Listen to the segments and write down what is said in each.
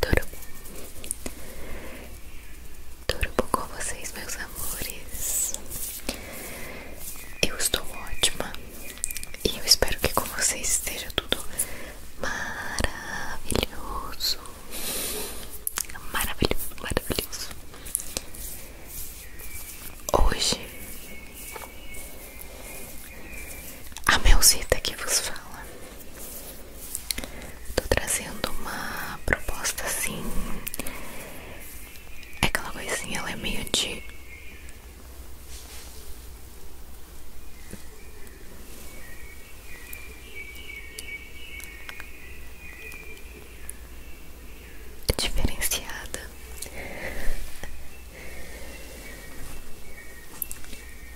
Turbo Turbo com vocês, meus amores Eu estou ótima E eu espero que com vocês esteja tudo maravilhoso Maravilhoso, maravilhoso Hoje a Melzita que vos fala Tô trazendo uma proposta assim. É aquela coisinha, é meio de. diferenciada.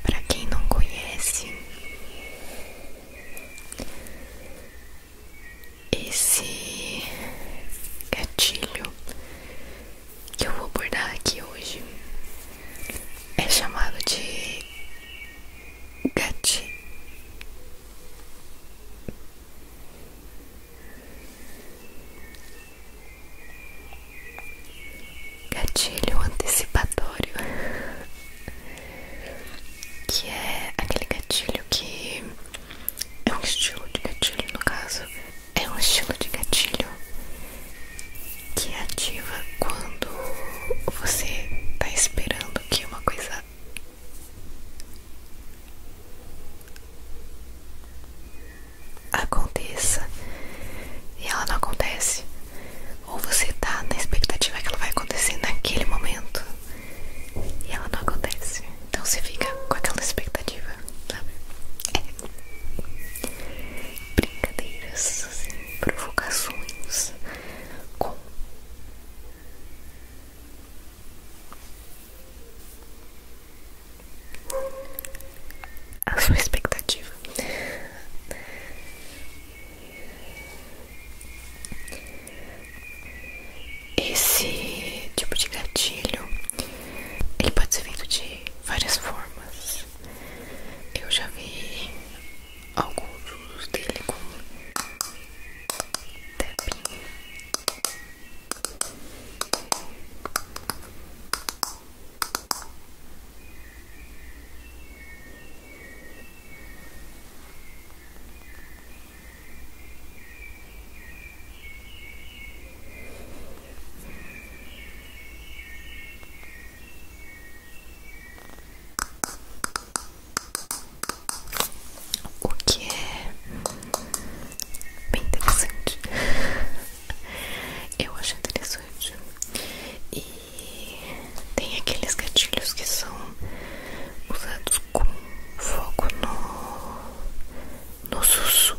Para quem não conhece, esse gatilho que eu vou abordar aqui hoje é chamado de gatilho gatilho antecipatório, que é aquele gatilho que é um estilo de gatilho, no caso, é um estilo de gatilho que ativa quando você tá esperando que uma coisa aconteça e ela não acontece. Ou você tá na expectativa que ela vai acontecer naquele momento e ela não acontece. Então você fica com aquela expectativa, sabe? É. Brincadeiras, assim, provocações com a sua expectativa. Esse tipo de gatilho ele pode ser vindo de várias formas. Eu já vi alguns usos dele como tapping. O que é bem interessante, eu acho interessante e tem aqueles gatilhos que são usados com foco no, no susso.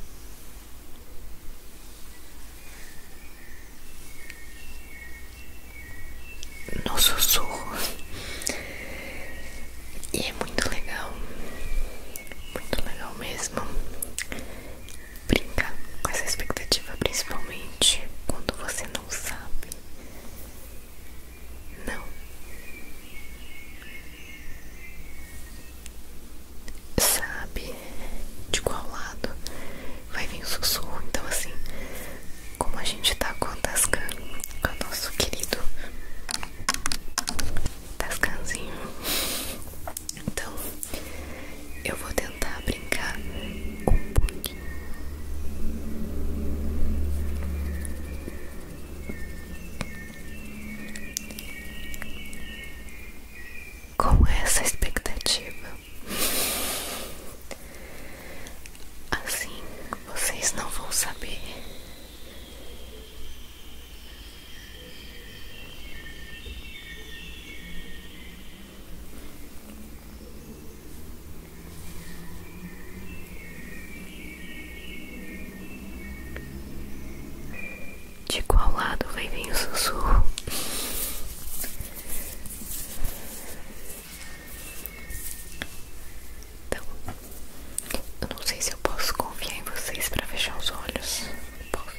No sussurro E é muito legal Muito legal mesmo brincar com essa expectativa, principalmente quando você não sabe. Não. Sabe de qual lado vai vir o sussurro. Então, assim, como a gente tá com a Tascan, com o nosso querido Tascanzinho, então eu vou tentar brincar com um pouco, Com essa expectativa, assim vocês não vão saber de qual lado vai vir o sussurro? Então, não sei se eu posso confiar em vocês para fechar os olhos. Posso.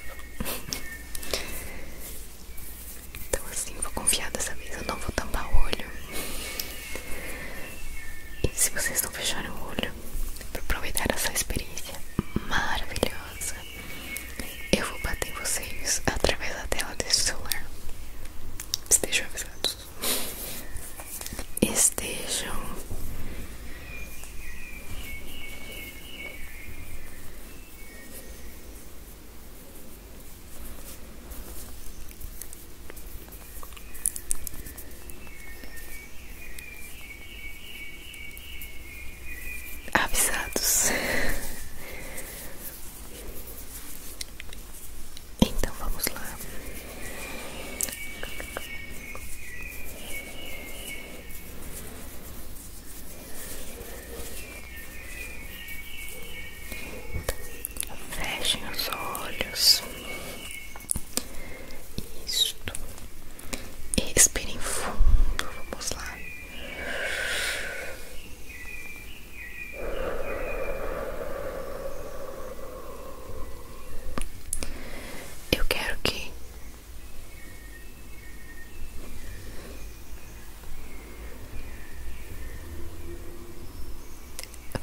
Então assim, vou confiar dessa vez, eu não vou tampar o olho. E se vocês não fecharem o olho é para aproveitar essa experiência maravilhosa, eu vou bater em vocês através da tela desse celular. Estejam avisados. Estejam avisados. Então vamos lá. Fechem os olhos. Isto. Expirem fundo. Vamos lá. Eu quero que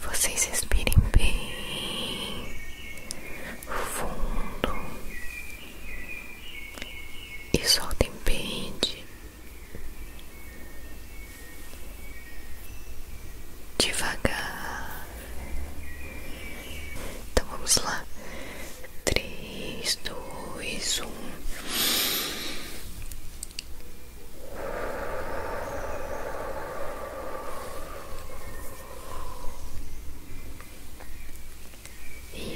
vocês respirem bem fundo e soltem bem devagar. Então vamos lá, três, dois, um.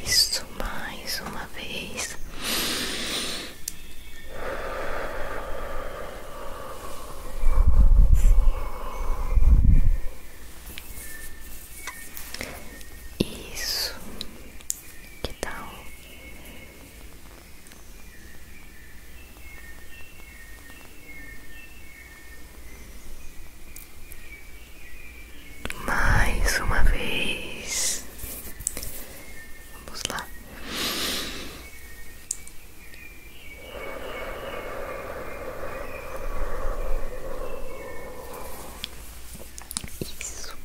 Isso mais uma vez. Isso. Que tal? Mais uma vez. Vamos lá. Isso.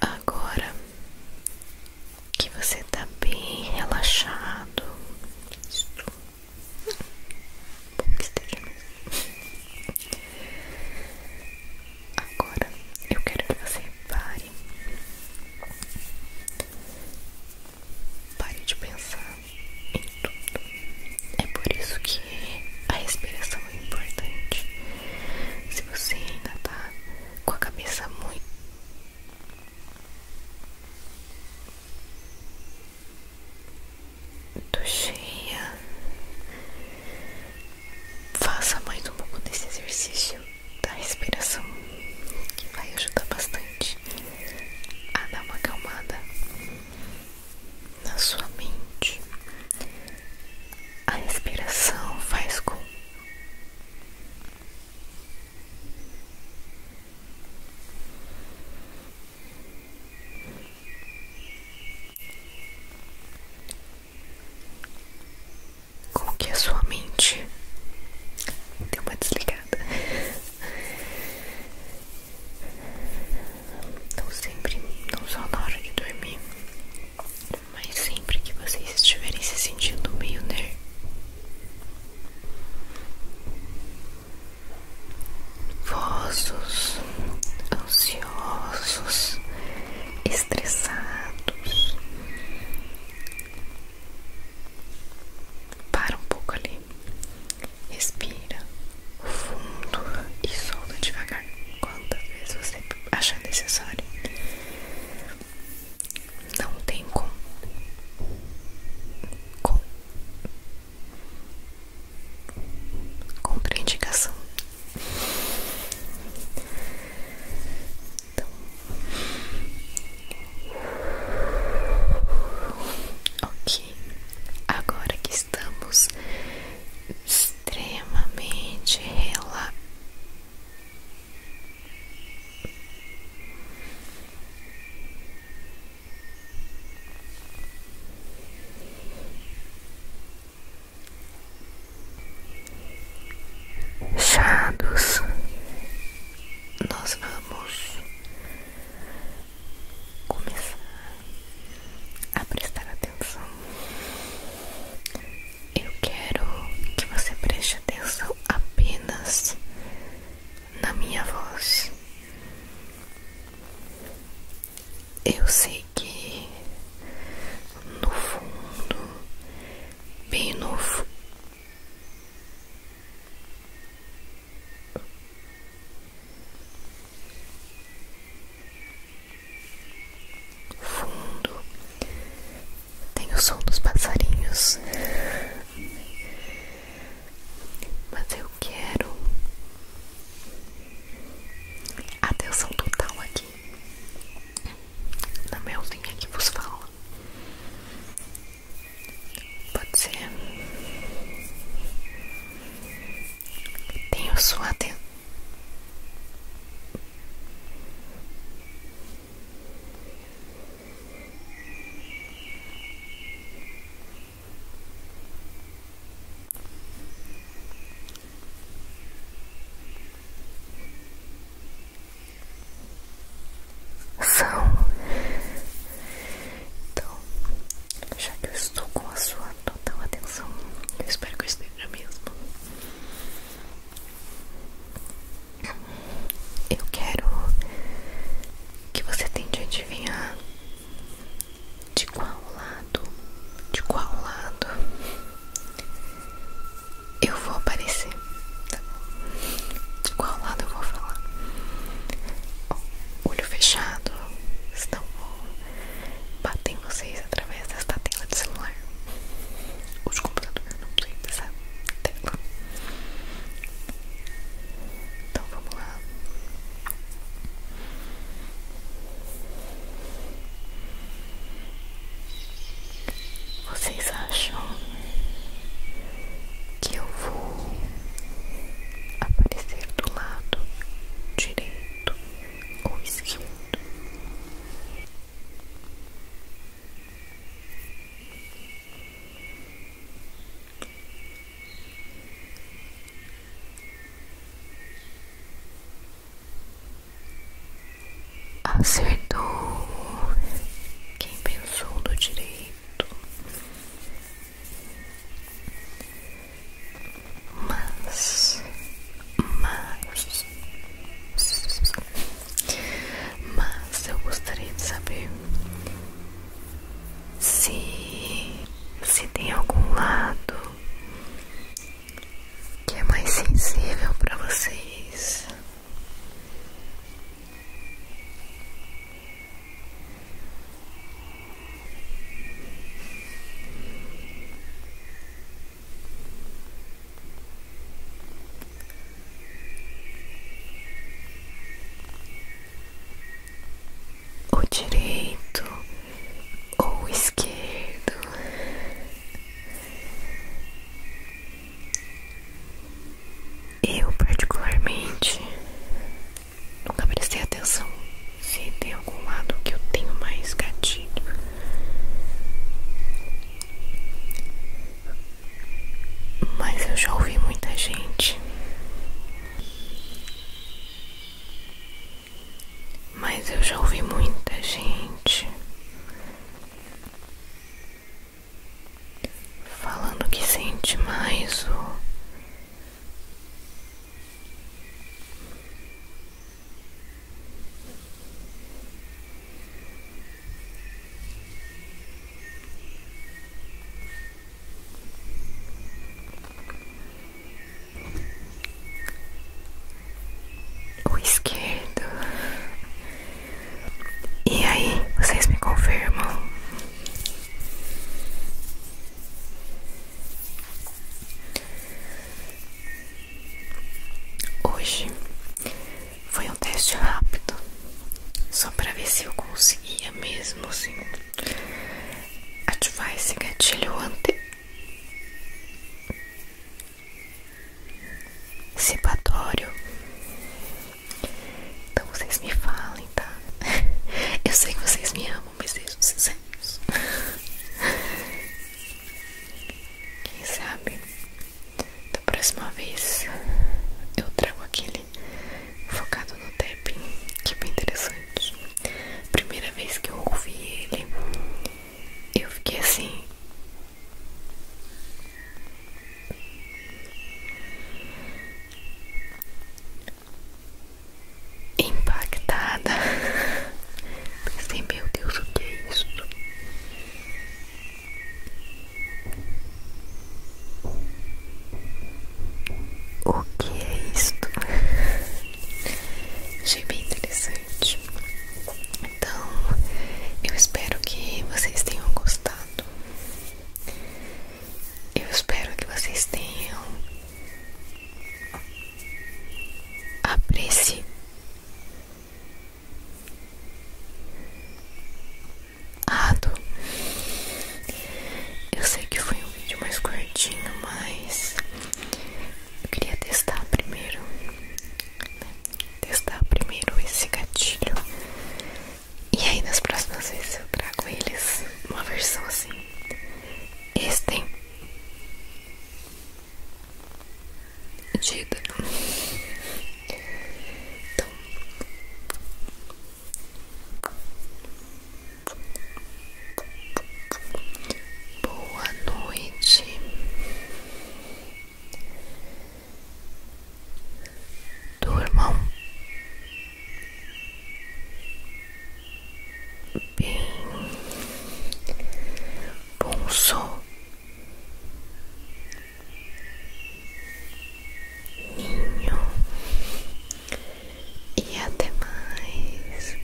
Agora que você está bem relaxado, isso. Bom que esteja Agora eu quero que você pare pare de pensar em tudo. É por isso que a respiração é importante. Se você ainda tá com a cabeça muito cheia, faça mais um pouco desse exercício da respiração que vai ajudar bastante a dar uma calmada na sua mente. A respiração faz com com que a sua mente deu uma desligada então sempre, não só na hora de dormir, mas sempre que vocês estiverem se sentindo meio nervosos, ansiosos, estressados, para um pouco ali Respira fundo e solta devagar Quantas vezes você achar necessário. Não tem como. Com. Contraindicação. Então. Ok agora que estamos extremamente relaxados nós vamos começar a prestar atenção. Eu quero que você preste atenção apenas na minha voz. Eu sei que no fundo, bem no fundo tem o som dos passarinhos, mas eu quero atenção total aqui na melzinha que vos fala. Pode ser. Tenho sua atenção. São então, já que eu estou com a sua total atenção, eu espero que eu esteja mesmo. Eu quero que você tente adivinhar de qual lado, de qual lado eu vou aparecer, tá bom? De qual lado eu vou falar? Bom, olho fechado, senão vou bater em vocês através desta tela de celular ou de computador, não sei, dessa Então vamos lá. Vocês acham que eu vou aparecer do lado direito ou esquerdo. Acertou quem pensou do direito mas, mas, mas eu gostaria de saber se, se tem algum lado que é mais sensível para vocês. O direito ou o esquerdo. Eu particularmente Nunca prestei atenção se tem algum lado que eu tenho mais gatilho. Mas eu já ouvi muita gente. Mas eu já ouvi muita gente falando que sente mais o o esquerdo. E aí, vocês me confirmam Hoje foi um teste rápido, só para ver se eu conseguia mesmo assim ativar esse gatilho ante então vocês me falem, tá? Eu sei que vocês me amam, mas sejam sinceros. Quem sabe da próxima vez eu trago aquele focado no tapping, que é bem interessante. Primeira vez que eu ouvi ele, eu fiquei assim impactada. Pensei, meu Deus, o que é isso? O que é isto? Achei bem interessante. Então, eu espero que vocês tenham gostado. Eu espero que vocês tenham apreciado. eu sei que foi um vídeo mais curtinho, mas eu queria testar primeiro, né, testar primeiro esse gatilho e aí nas próximas vezes eu trago eles uma versão assim. Esse tem Dida. Então. Boa noite do irmão bem bom som ninho e até mais